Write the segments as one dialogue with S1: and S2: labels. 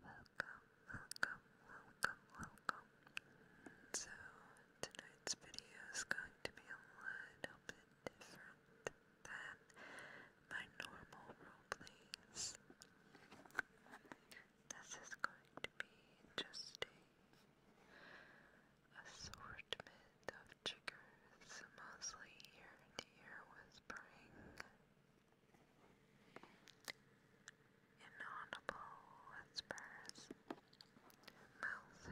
S1: Welcome, welcome, welcome, welcome. So, tonight's video is going to be a little bit different than my normal roleplays. This is going to be just a assortment of triggers, mostly ear -ear whispering inaudible whispers, mouth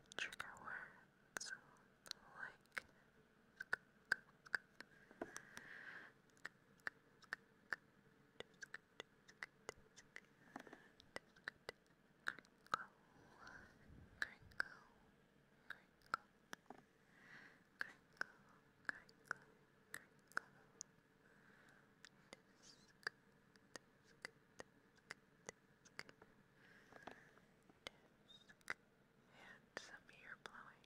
S1: and trigger words like crinkle, crinkle, crinkle, crinkle, And some ear blowing.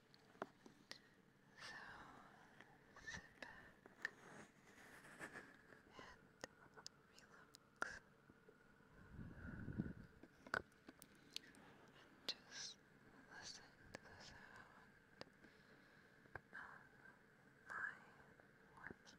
S1: So sit back and relax and just listen to the sound of my whispers.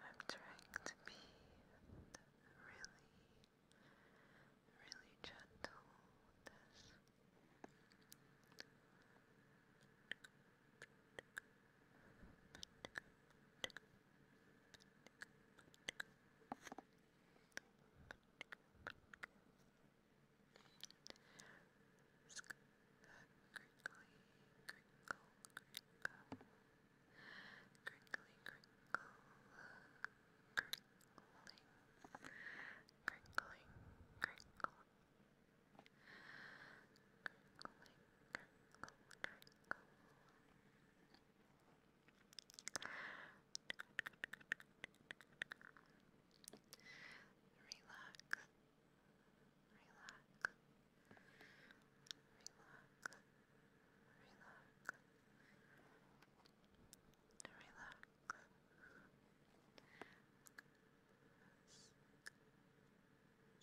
S1: I'm trying to be really, really gentle with crinkle, crinkle crinkly, crinkle, crinkling, crinkling, crinkle, crinkling, crinkle, crinkle. Relax, relax, relax relax, relax.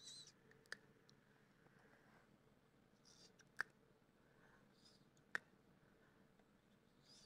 S1: Sick. Sick. Sick. Sick. Sick. Relax.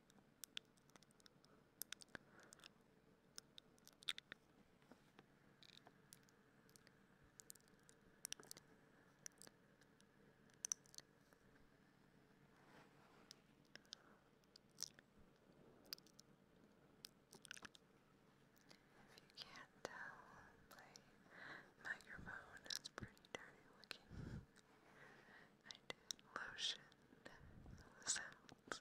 S1: If you can't tell, my microphone is pretty dirty looking. I did lotion sounds.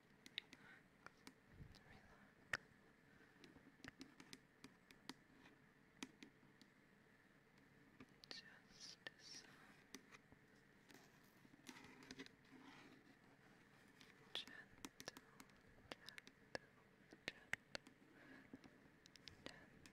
S1: Just some gentle, gentle, gentle, gentle, gentle tapping.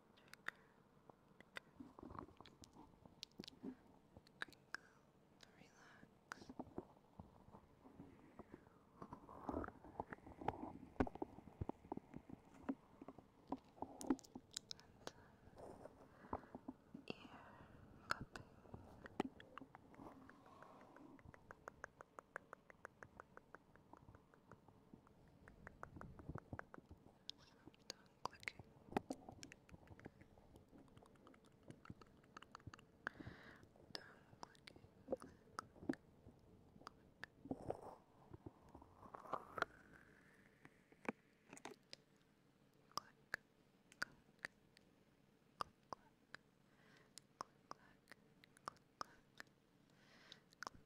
S2: Relax. And, uh, ear cupping. Done clicking. Done clicking. Click, click, click. Click, click. Click, click. Click, click. Click, click. Click,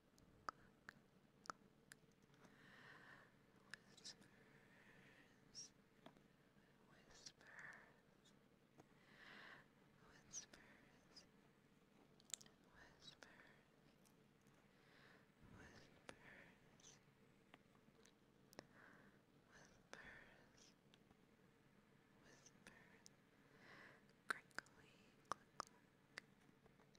S2: Whispers, whispers, whispers, whispers, whispers, whispers, whisper, crinkly, click, click,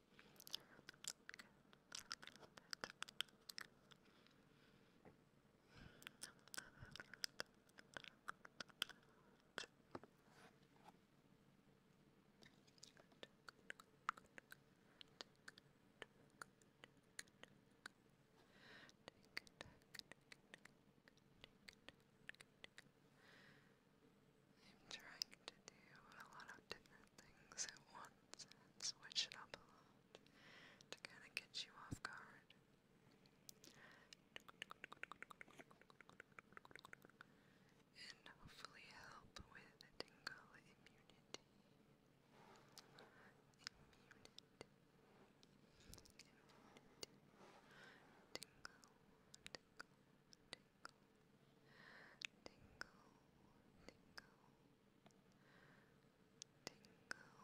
S2: I'm trying to do a lot of different things at once switch it up a lot to kind of get you off guard. And hopefully help with tingle immunity. Immunity. tingle, tingle, tingle, tingle, tingle, tingle. Good.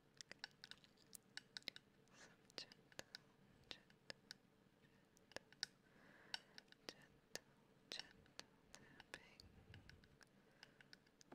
S2: Some gentle, gentle, gentle, gentle, gentle tapping. Gentle. Gentle.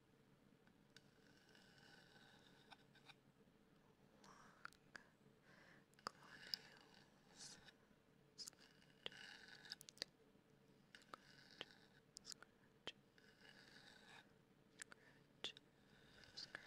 S2: globules. Scratch, scratch, scratch, scratch, scratch. Scratch, scratch.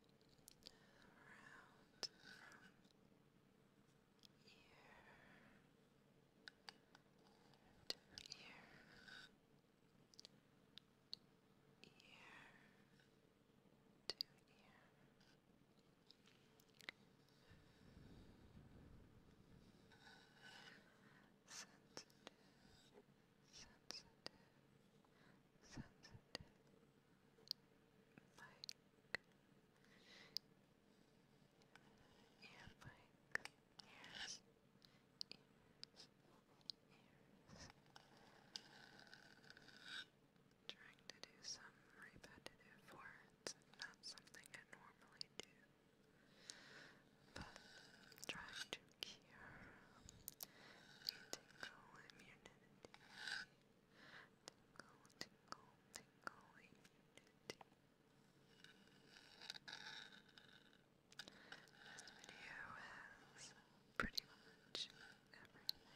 S3: around from ear to ear, ear to ear. Sensitive, sensitive, sensitive mic. Yeah, mic. Ears. Trying to do some repetitive words, not something I normally do. But trying to cure the tingle immunity Tingle, tingle, tingle unity. This video has pretty much everything.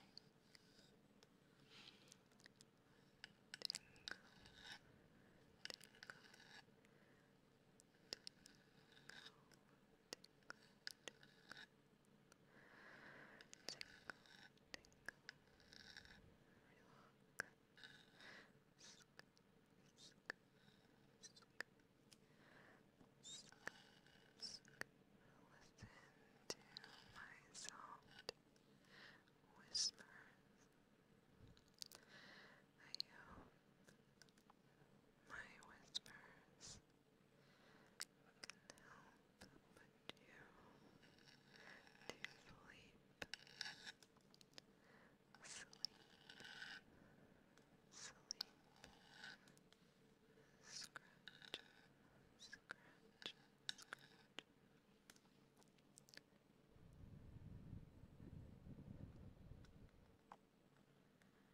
S3: Tingle, tingle, tingle. Listen to my soft whispers. I hope my whispers help you to sleep. Sleep, sleep, scratch, scratch,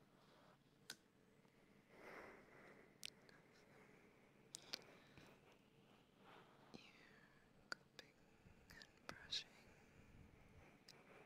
S3: cupping and brushing. Sunset ears.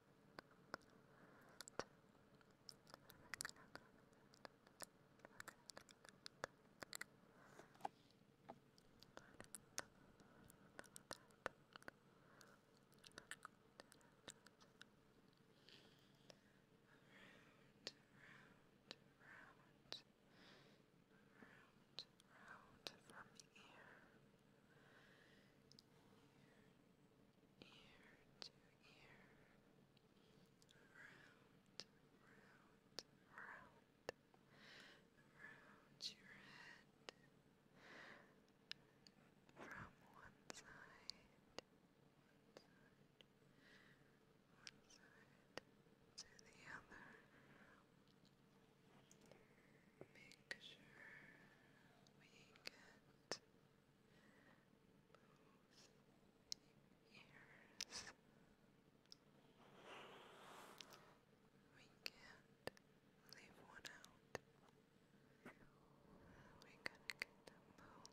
S3: round, round from ear, ear ear to ear, round, round, round, round your head, from one side, one side, to the other make sure we get both ears. We can't leave one out. We gotta get them both.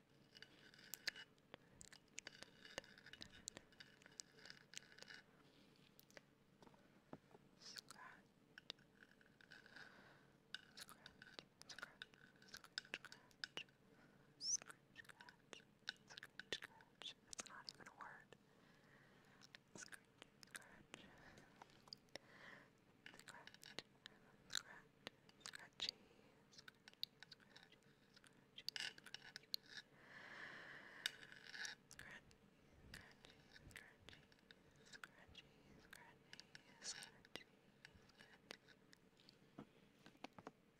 S3: scratch. It's not even a word. Scratch, scratch scratch,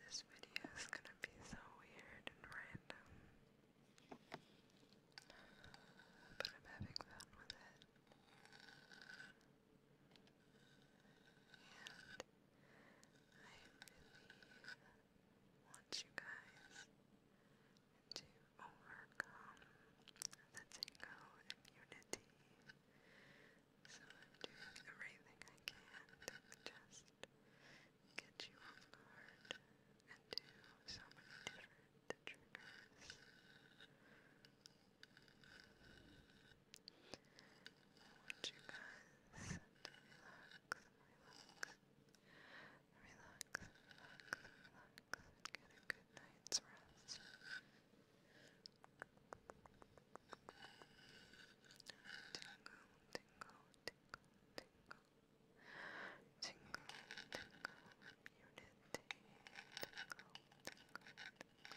S3: This video is gonna be so weird and random. But I'm having fun with it really want you guys to overcome the tingle immunity. So I'm doing everything I can to just get you off guard and do so many different triggers. I want you guys to relax, relax, relax, relax, relax, get a good night's
S4: rest. Tingle, tingle, tingle, tingle. Tingle, tingle, unity, tingle, tingle, tingle.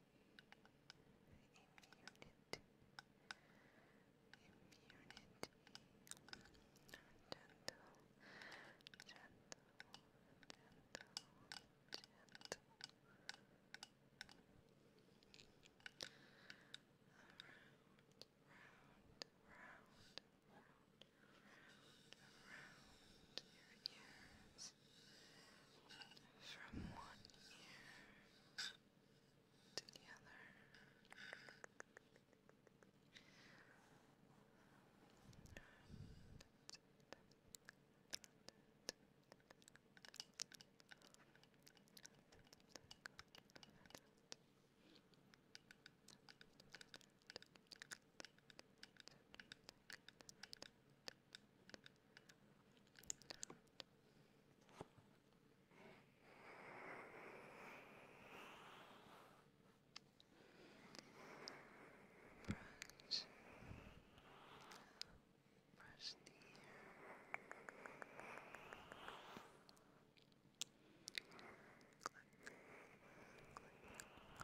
S4: immunity, immunity, gentle, gentle, gentle, gentle. Around, round, round, round, round your ears years from one year to the other. Thank Brush, brush the hair. Click, click, click, click.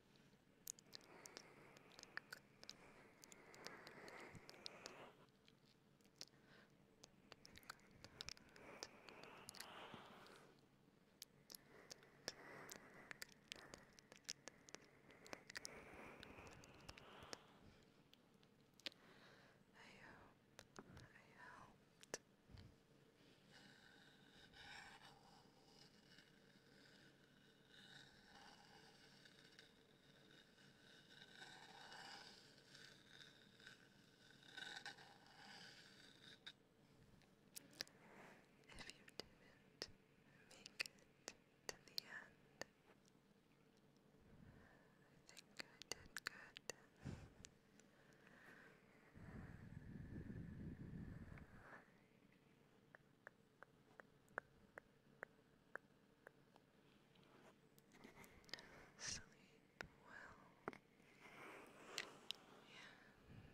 S5: I helped if you didn't make it to the end, I think I did good. Sleep well and sweet dreams.